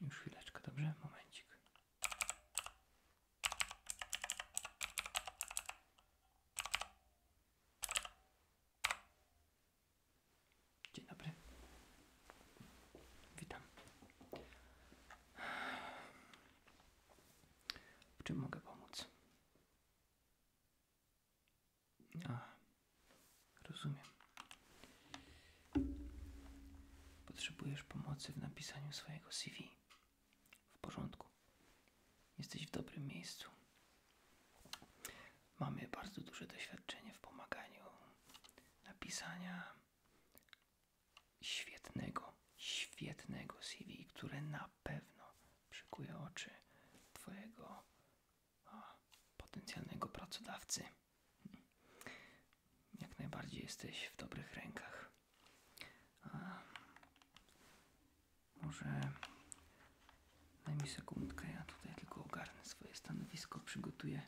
Już chwileczkę, dobrze? Momencik. Dzień dobry. Witam. W czym mogę pomóc? A, rozumiem. Potrzebujesz pomocy w napisaniu swojego CV. W porządku. Jesteś w dobrym miejscu. Mamy bardzo duże doświadczenie w pomaganiu napisania świetnego, świetnego CV, które na pewno przykuje oczy Twojego potencjalnego pracodawcy. Jak najbardziej jesteś w dobrych rękach. może najmniej mi sekundkę, ja tutaj tylko ogarnę swoje stanowisko, przygotuję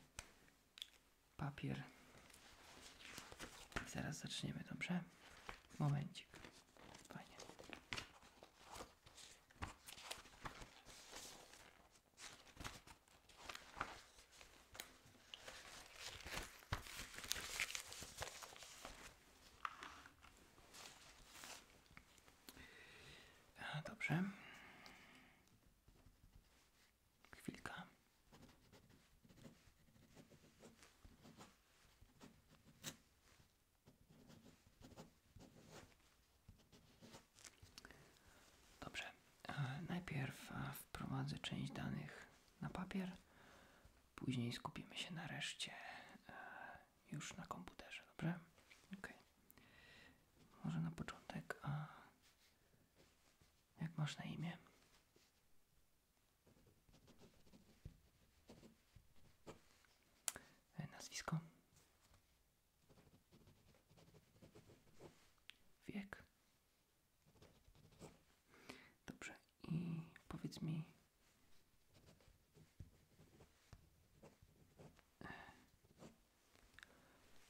papier i zaraz zaczniemy, dobrze? Momencik. Fajnie. A, dobrze. Chwilka. Dobrze, e, najpierw e, wprowadzę część danych na papier, później skupimy się nareszcie e, już na komputerze, dobrze? Ok. Może na początek, jak masz na imię? E, nazwisko. Wiek. Dobrze. I powiedz mi. E,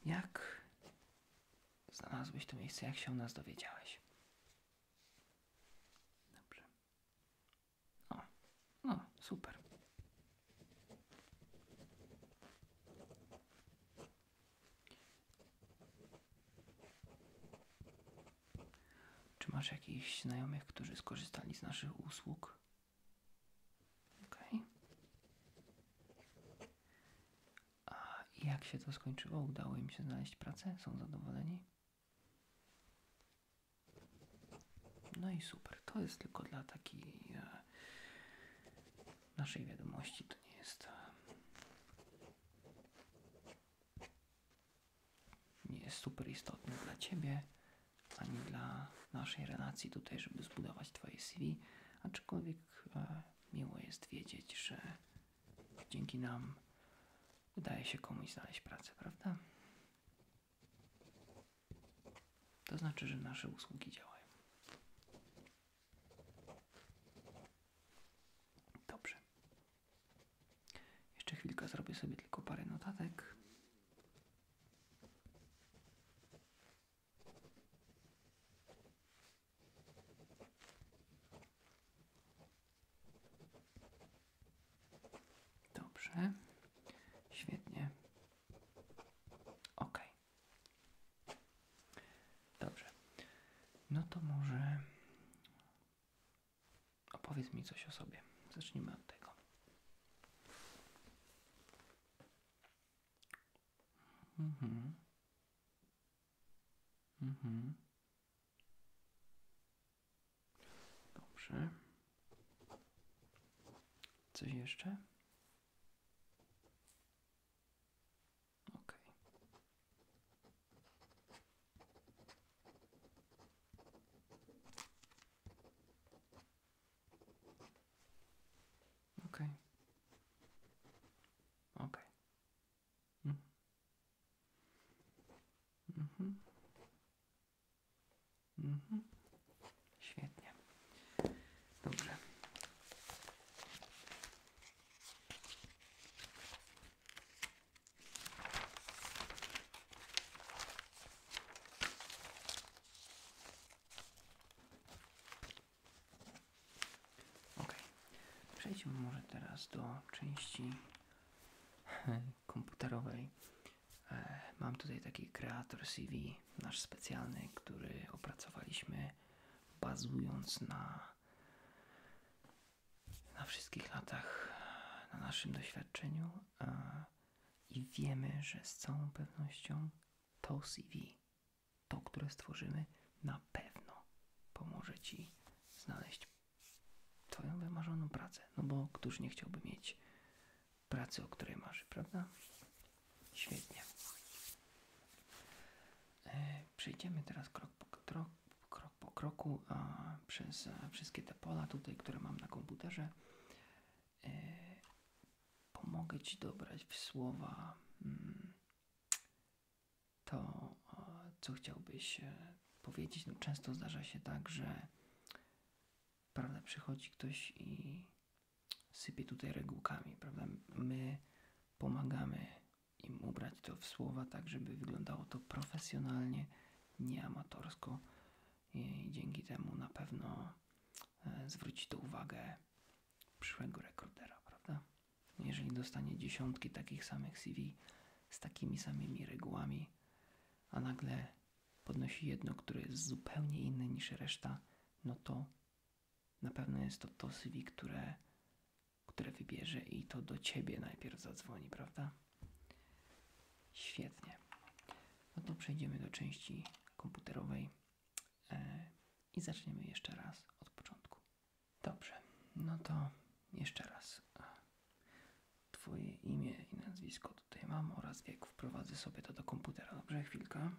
jak znalazłeś to miejsce? Jak się o nas dowiedziałeś? Dobrze. O, no, super. Czy masz jakichś znajomych, którzy skorzystali z naszych usług? OK. A jak się to skończyło? Udało im się znaleźć pracę? Są zadowoleni? No i super. To jest tylko dla takiej e, naszej wiadomości. To nie jest. E, nie jest super istotne dla ciebie ani dla naszej relacji tutaj, żeby zbudować Twoje CV, aczkolwiek e, miło jest wiedzieć, że dzięki nam udaje się komuś znaleźć pracę, prawda? To znaczy, że nasze usługi działają. Dobrze. Jeszcze chwilkę zrobię sobie tylko parę notatek. Dobrze. Świetnie. Ok. Dobrze. No to może opowiedz mi coś o sobie. Zacznijmy od tego. Mhm. Mhm. mhm. Dobrze. Coś jeszcze? Ok. Ok. Ok. Mhm. Mhm. Świetnie. Dobrze. Ok. Przejdźmy może teraz do części komputerowej. E, mam tutaj taki kreator CV, nasz specjalny, który opracowaliśmy bazując na, na wszystkich latach, na naszym doświadczeniu e, i wiemy, że z całą pewnością to CV, to które stworzymy, na pewno pomoże Ci znaleźć Twoją wymarzoną pracę. No bo któż nie chciałby mieć pracy, o której marzy, prawda? Świetnie. E, przejdziemy teraz krok po, krok, krok po kroku a, przez wszystkie te pola tutaj, które mam na komputerze. E, pomogę Ci dobrać w słowa mm, to, co chciałbyś, e, powiedzieć. No, często zdarza się tak, że prawda, przychodzi ktoś i sypie tutaj regułkami, prawda? My pomagamy im ubrać to w słowa tak, żeby wyglądało to profesjonalnie, nie amatorsko i dzięki temu na pewno e, zwróci to uwagę przyszłego rekordera, prawda? Jeżeli dostanie dziesiątki takich samych CV z takimi samymi regułami, a nagle podnosi jedno, które jest zupełnie inne niż reszta, no to na pewno jest to to CV, które, które wybierze i to do Ciebie najpierw zadzwoni, prawda? Świetnie. No to przejdziemy do części komputerowej e, i zaczniemy jeszcze raz od początku. Dobrze, no to jeszcze raz. Twoje imię i nazwisko tutaj mam oraz wiek. Wprowadzę sobie to do komputera. Dobrze, chwilkę.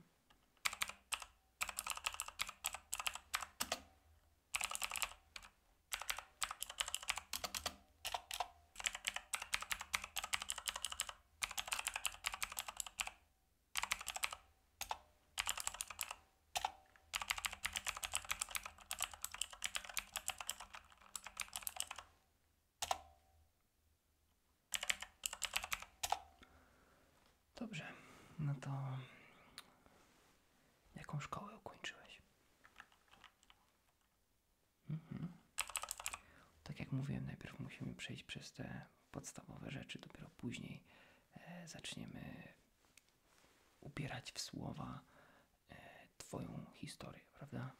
Dobrze, no to jaką szkołę ukończyłeś? Mhm. Tak jak mówiłem, najpierw musimy przejść przez te podstawowe rzeczy, dopiero później e, zaczniemy upierać w słowa E, twoją historię, prawda?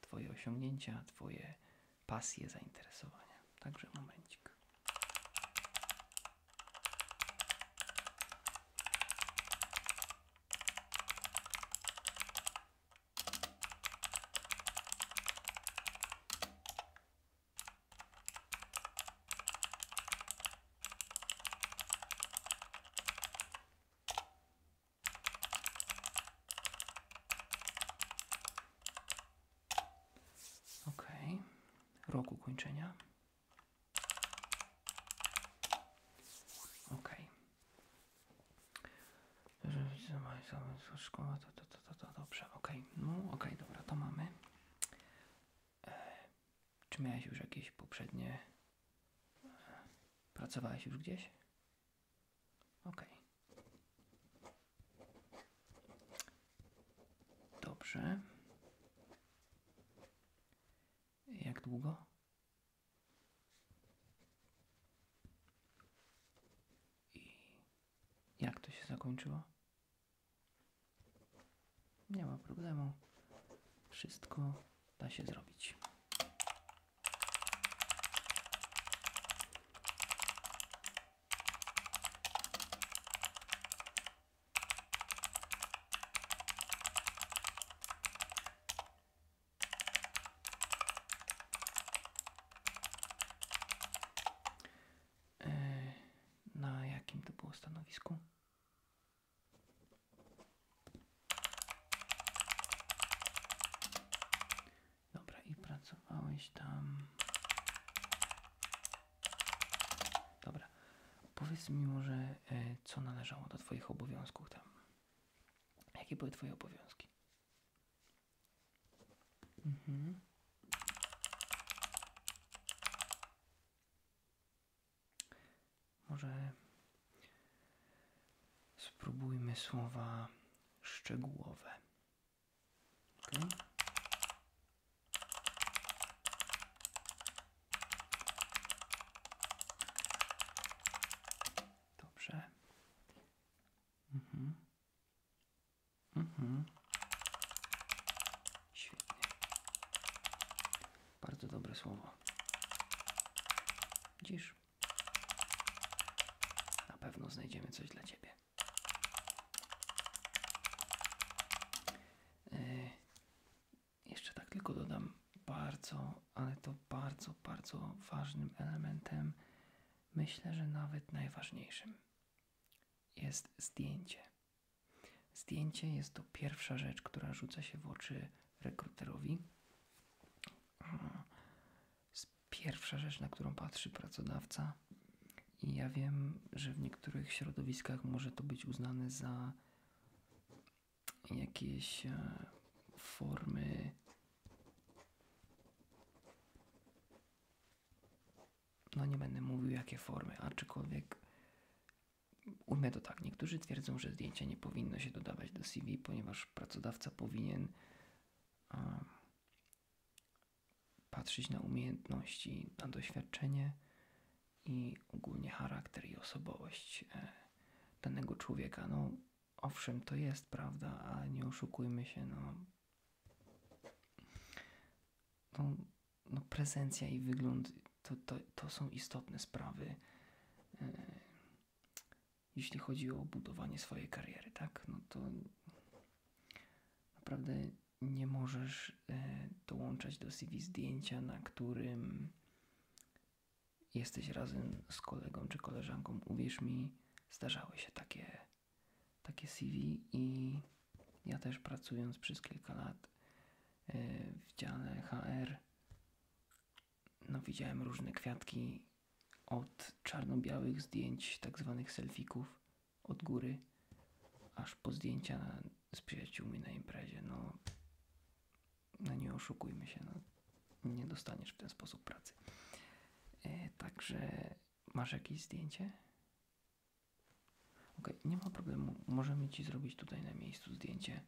Twoje osiągnięcia, Twoje pasje, zainteresowania. Także momencik. Ok. Rok kończenia. Ok. Szkoła, to, to, to, to, to, dobrze, ok. No, ok, dobra, to mamy. E, czy miałeś już jakieś poprzednie... E, pracowałeś już gdzieś? Ok. Dobrze. Jak długo? I jak to się zakończyło? Nie ma problemu. Wszystko da się zrobić. E, na jakim to było stanowisku? Dobra, i pracowałeś tam. Dobra, powiedz mi może, e, co należało do Twoich obowiązków tam. Jakie były Twoje obowiązki? Mhm. Może spróbujmy słowa szczegółowe. Dobrze. Mhm. Mhm. Świetnie. Bardzo dobre słowo. Widzisz? Na pewno znajdziemy coś dla ciebie. E, jeszcze tak tylko dodam bardzo, ale to bardzo, bardzo ważnym elementem, myślę, że nawet najważniejszym, jest zdjęcie. Zdjęcie jest to pierwsza rzecz, która rzuca się w oczy rekruterowi, pierwsza rzecz, na którą patrzy pracodawca. I ja wiem, że w niektórych środowiskach może to być uznane za jakieś e, formy no nie będę mówił jakie formy, aczkolwiek ujmę to tak. Niektórzy twierdzą, że zdjęcia nie powinno się dodawać do CV, ponieważ pracodawca powinien patrzeć na umiejętności, na doświadczenie i ogólnie charakter i osobowość e, danego człowieka. No, owszem, to jest prawda, ale nie oszukujmy się, no, no, no, prezencja i wygląd to, są istotne sprawy. E, jeśli chodzi o budowanie swojej kariery, tak? No to naprawdę nie możesz e, dołączać do CV zdjęcia, na którym jesteś razem z kolegą czy koleżanką. Uwierz mi, zdarzały się takie, takie CV i ja też pracując przez kilka lat e, w dziale HR no, widziałem różne kwiatki od czarno-białych zdjęć, tak zwanych selfików od góry, aż po zdjęcia z przyjaciółmi na imprezie. No, no nie oszukujmy się, no, nie dostaniesz w ten sposób pracy. E, także masz jakieś zdjęcie? Ok, nie ma problemu, możemy Ci zrobić tutaj na miejscu zdjęcie.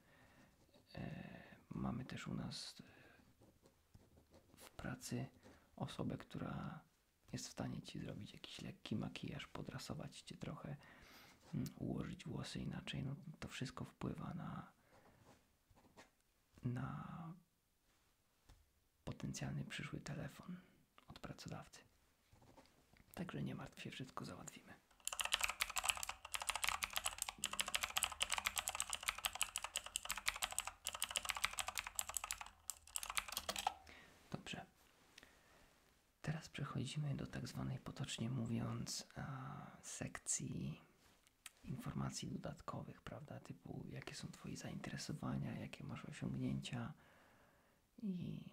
E, mamy też u nas w pracy osobę, która jest w stanie ci zrobić jakiś lekki makijaż, podrasować cię trochę, mm, ułożyć włosy inaczej. No, to wszystko wpływa na, na potencjalny przyszły telefon od pracodawcy. Także nie martw się, wszystko załatwimy. Dobrze. Teraz przechodzimy do tak zwanej potocznie mówiąc sekcji informacji dodatkowych, prawda? Typu jakie są Twoje zainteresowania, jakie masz osiągnięcia i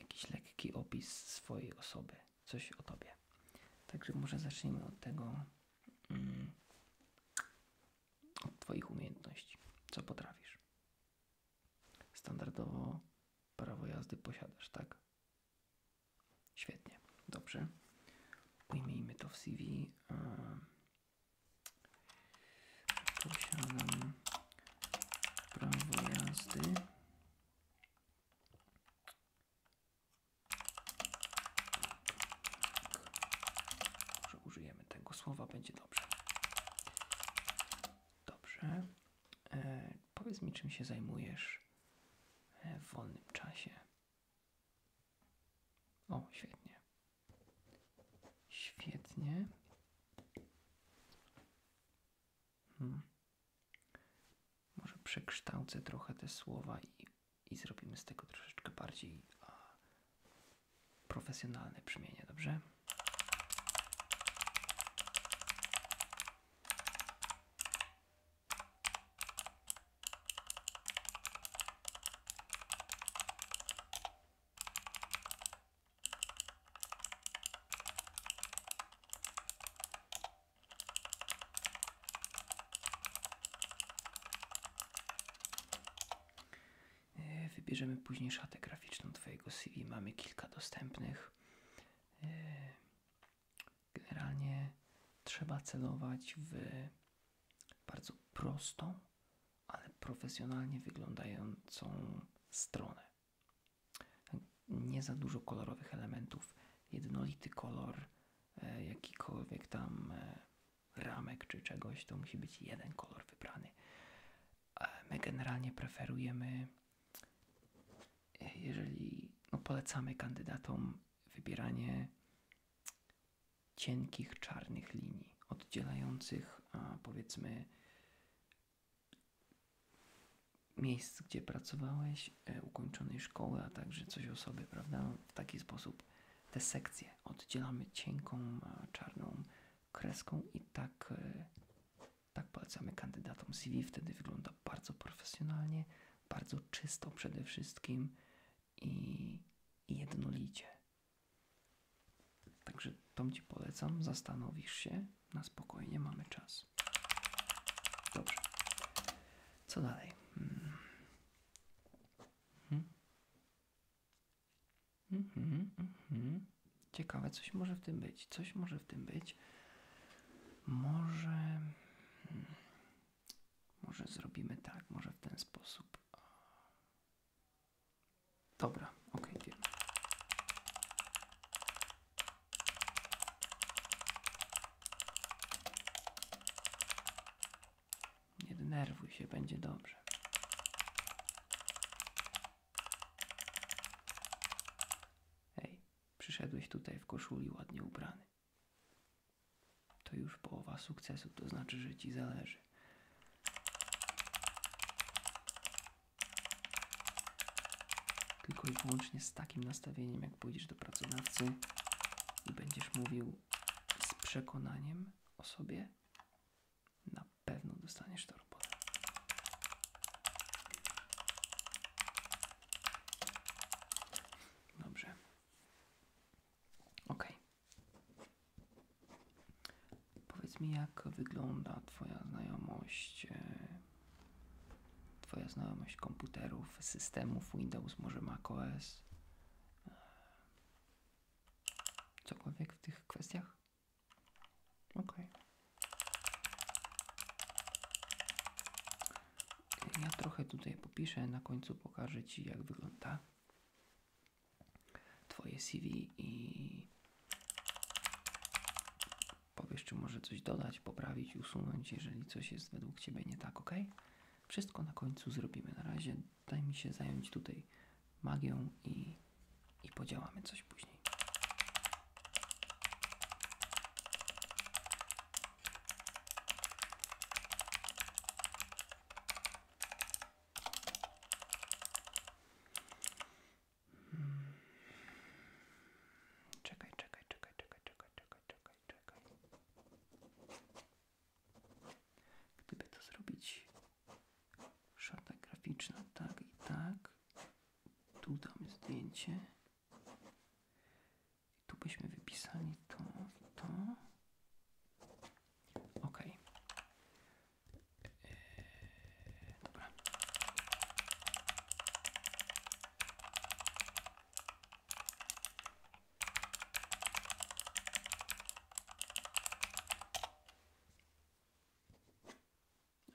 jakiś lekki opis swojej osoby coś o tobie. Także może zacznijmy od tego, mm, od twoich umiejętności. Co potrafisz? Standardowo prawo jazdy posiadasz, tak? Świetnie, dobrze. Ujmijmy to w CV. E, posiadam prawo jazdy może użyjemy tego słowa, będzie dobrze. Dobrze. E, powiedz mi, czym się zajmujesz e, w wolnym czasie. O, świetnie. Świetnie. Hmm. Może przekształcę trochę te słowa i, i zrobimy z tego troszeczkę bardziej profesjonalne brzmienie, dobrze? E, wybierzemy później szatę graficzną Twojego CV. Mamy kilka dostępnych. E, generalnie trzeba celować w bardzo prostą, ale profesjonalnie wyglądającą stronę. Nie za dużo kolorowych elementów, jednolity kolor, E, jakikolwiek tam e, ramek czy czegoś, to musi być jeden kolor wybrany. E, my generalnie preferujemy, jeżeli no polecamy kandydatom wybieranie cienkich czarnych linii, oddzielających powiedzmy miejsc, gdzie pracowałeś jakiejś ukończonej szkoły, a także coś o sobie, prawda? W taki sposób te sekcje oddzielamy cienką, czarną kreską i tak, e, tak polecamy kandydatom CV. Wtedy wygląda bardzo profesjonalnie, bardzo czysto przede wszystkim i jednolicie. Także to Ci polecam, zastanowisz się, na spokojnie mamy czas. Dobrze. Co dalej? Hmm. Mhm. Mhm, mhm. Ciekawe, coś może w tym być. Coś może w tym być. Może. Może zrobimy tak, może w ten sposób. Dobra, ok, wiem. Nie denerwuj się, będzie dobrze. Hej, przyszedłeś tutaj w koszuli ładnie ubrany. To już połowa sukcesu, to znaczy, że ci zależy. Tylko i wyłącznie z takim nastawieniem, jak pójdziesz do pracodawcy i będziesz mówił: z przekonaniem o sobie, na pewno dostaniesz tę robotę. Dobrze. Ok. Powiedz mi, jak wygląda Twoja znajomość. E, twoja znajomość komputerów, systemów Windows, może macOS? Eee, cokolwiek w tych kwestiach? Okej. Ja trochę tutaj popiszę, na końcu pokażę Ci, jak wygląda Twoje CV i powiesz, czy może coś dodać, poprawić, usunąć, jeżeli coś jest według Ciebie nie tak, ok? Wszystko na końcu zrobimy. Na razie daj mi się zająć tutaj magią i, i podziałamy coś później. Hmm. Czekaj, czekaj, czekaj, czekaj, czekaj, czekaj, czekaj, czekaj. Gdyby to zrobić szata graficzna tak i tak, tu damy zdjęcie tu byśmy wypisali to to. Ok.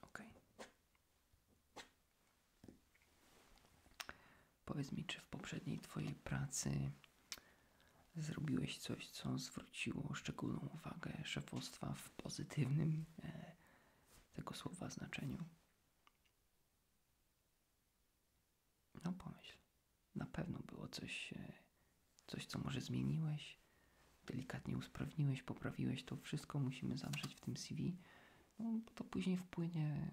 Ok. Powiedz mi, czy w poprzedniej Twojej pracy zrobiłeś coś, co zwróciło szczególną uwagę szefostwa w pozytywnym e, tego słowa znaczeniu? No pomyśl, na pewno było coś, e, coś co może zmieniłeś, delikatnie usprawniłeś, poprawiłeś, to wszystko musimy zamrzeć w tym CV, no bo to później wpłynie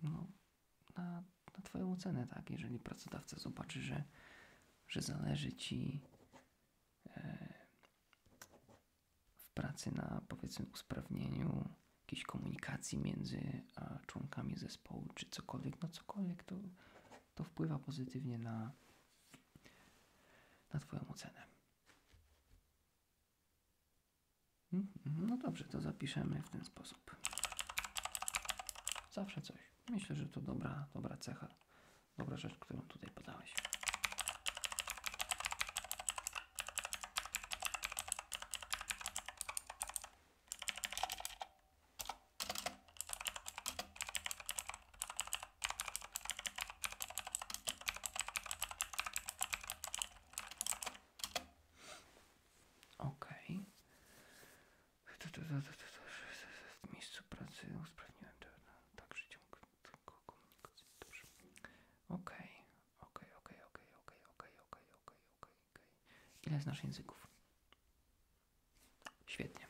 no, na, Twoją ocenę, tak? Jeżeli pracodawca zobaczy, że, że zależy Ci e, w pracy na powiedzmy usprawnieniu jakiejś komunikacji między członkami zespołu, czy cokolwiek, no cokolwiek, to, to wpływa pozytywnie na, na Twoją ocenę. Mhm, no dobrze, to zapiszemy w ten sposób. Zawsze coś. Myślę, że to dobra, dobra cecha, dobra rzecz, którą tutaj podałeś. Okej. Okay. W miejscu pracy usprawniłem to. Także ciąg tylko komunikacji. Okej, okej, okej, okej, okej, okej, okej, okej, Okay. Ile znasz języków? Świetnie.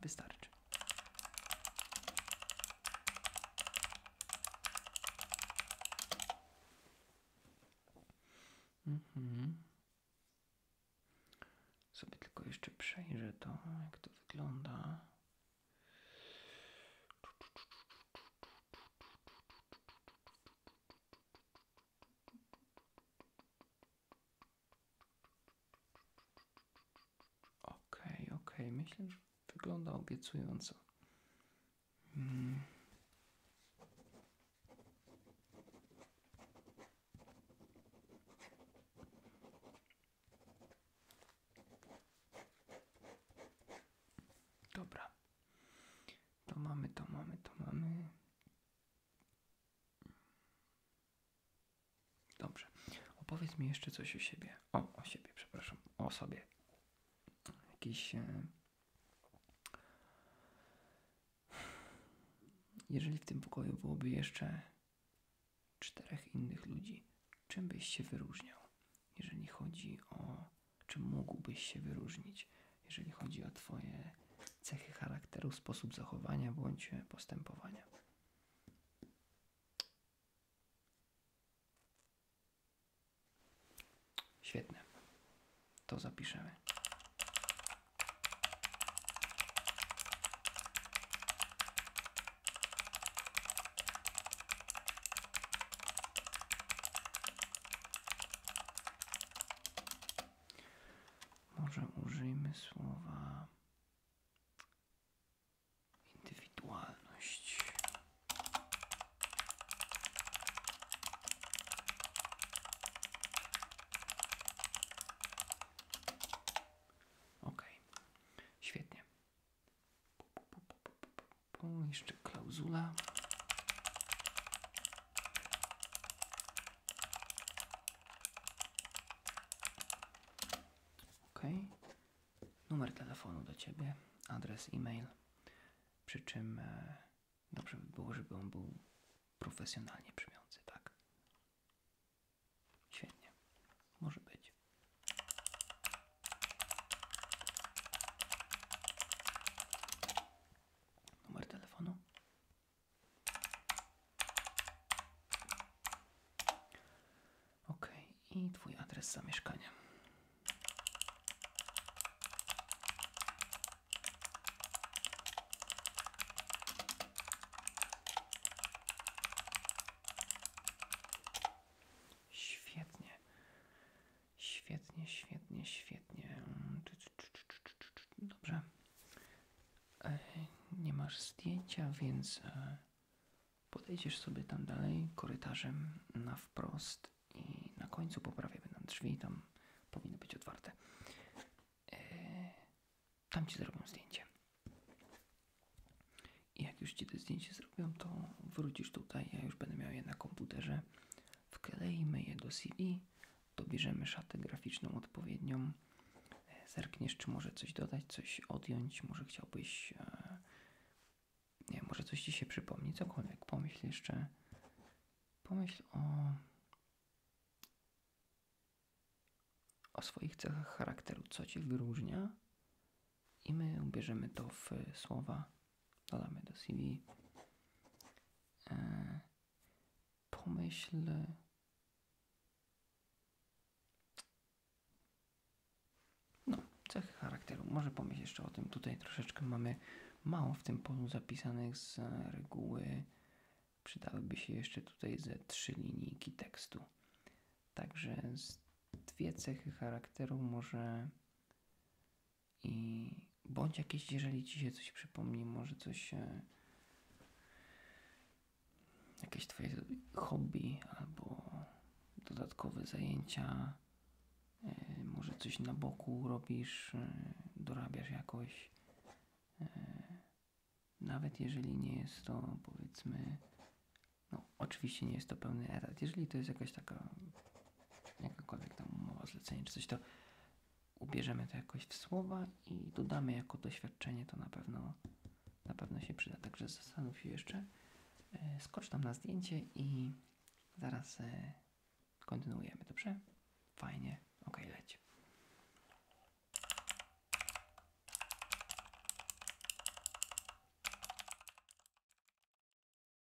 Wystarczy. Mhm. tylko jeszcze przejrzę to, jak to wygląda. Okej, okej, myślę, wygląda obiecująco. Hmm. To mamy, to mamy, to mamy. Dobrze. Opowiedz mi jeszcze coś o siebie. O, o siebie, przepraszam. O sobie. Jakiś. E, jeżeli w tym pokoju byłoby jeszcze czterech innych ludzi, czym byś się wyróżniał? jeżeli chodzi o czy mógłbyś się wyróżnić, jeżeli chodzi o Twoje cechy charakteru, sposób zachowania bądź e, postępowania. Świetne. To zapiszemy. Może użyjmy słowa indywidualność. Ok, świetnie. Jeszcze klauzula. OK. Numer telefonu do ciebie, adres e-mail. Przy czym e, dobrze by było, żeby on był profesjonalnie brzmiący, tak? Świetnie. Może być. Numer telefonu. Ok, i Twój adres zamieszkania. Świetnie. Świetnie, świetnie, świetnie. Dobrze. E, nie masz zdjęcia, więc e, podejdziesz sobie tam dalej korytarzem na wprost i na końcu poprawię nam drzwi, tam powinny być otwarte. E, tam ci zrobią zdjęcie. I jak już ci to zdjęcie zrobią, to wrócisz tutaj. Ja już będę miał je na komputerze, wkleimy je do CV, dobierzemy szatę graficzną odpowiednią, e, zerkniesz, czy może coś dodać, coś odjąć, może chciałbyś, e, nie może coś Ci się przypomni, cokolwiek, pomyśl jeszcze, pomyśl o, o swoich cechach charakteru, co Cię wyróżnia i my ubierzemy to w słowa Dodamy do CV. E, pomyśl. No, cechy charakteru. Może pomyśl jeszcze o tym. Tutaj troszeczkę mamy mało w tym polu zapisanych z reguły. Przydałyby się jeszcze tutaj ze trzy linijki tekstu. Także z dwie cechy charakteru może i bądź jakieś, jeżeli ci się coś przypomni, może coś. Jakieś Twoje hobby albo dodatkowe zajęcia, e, może coś na boku robisz, e, dorabiasz jakoś. E, nawet jeżeli nie jest to, powiedzmy, no oczywiście nie jest to pełny etat, jeżeli to jest jakaś taka jakakolwiek tam umowa, zlecenie czy coś, to ubierzemy to jakoś w słowa i dodamy jako doświadczenie, to na pewno, na pewno się przyda. Także zastanów się jeszcze, e, skocz tam na zdjęcie i zaraz e, kontynuujemy, dobrze? Fajnie, okej leć.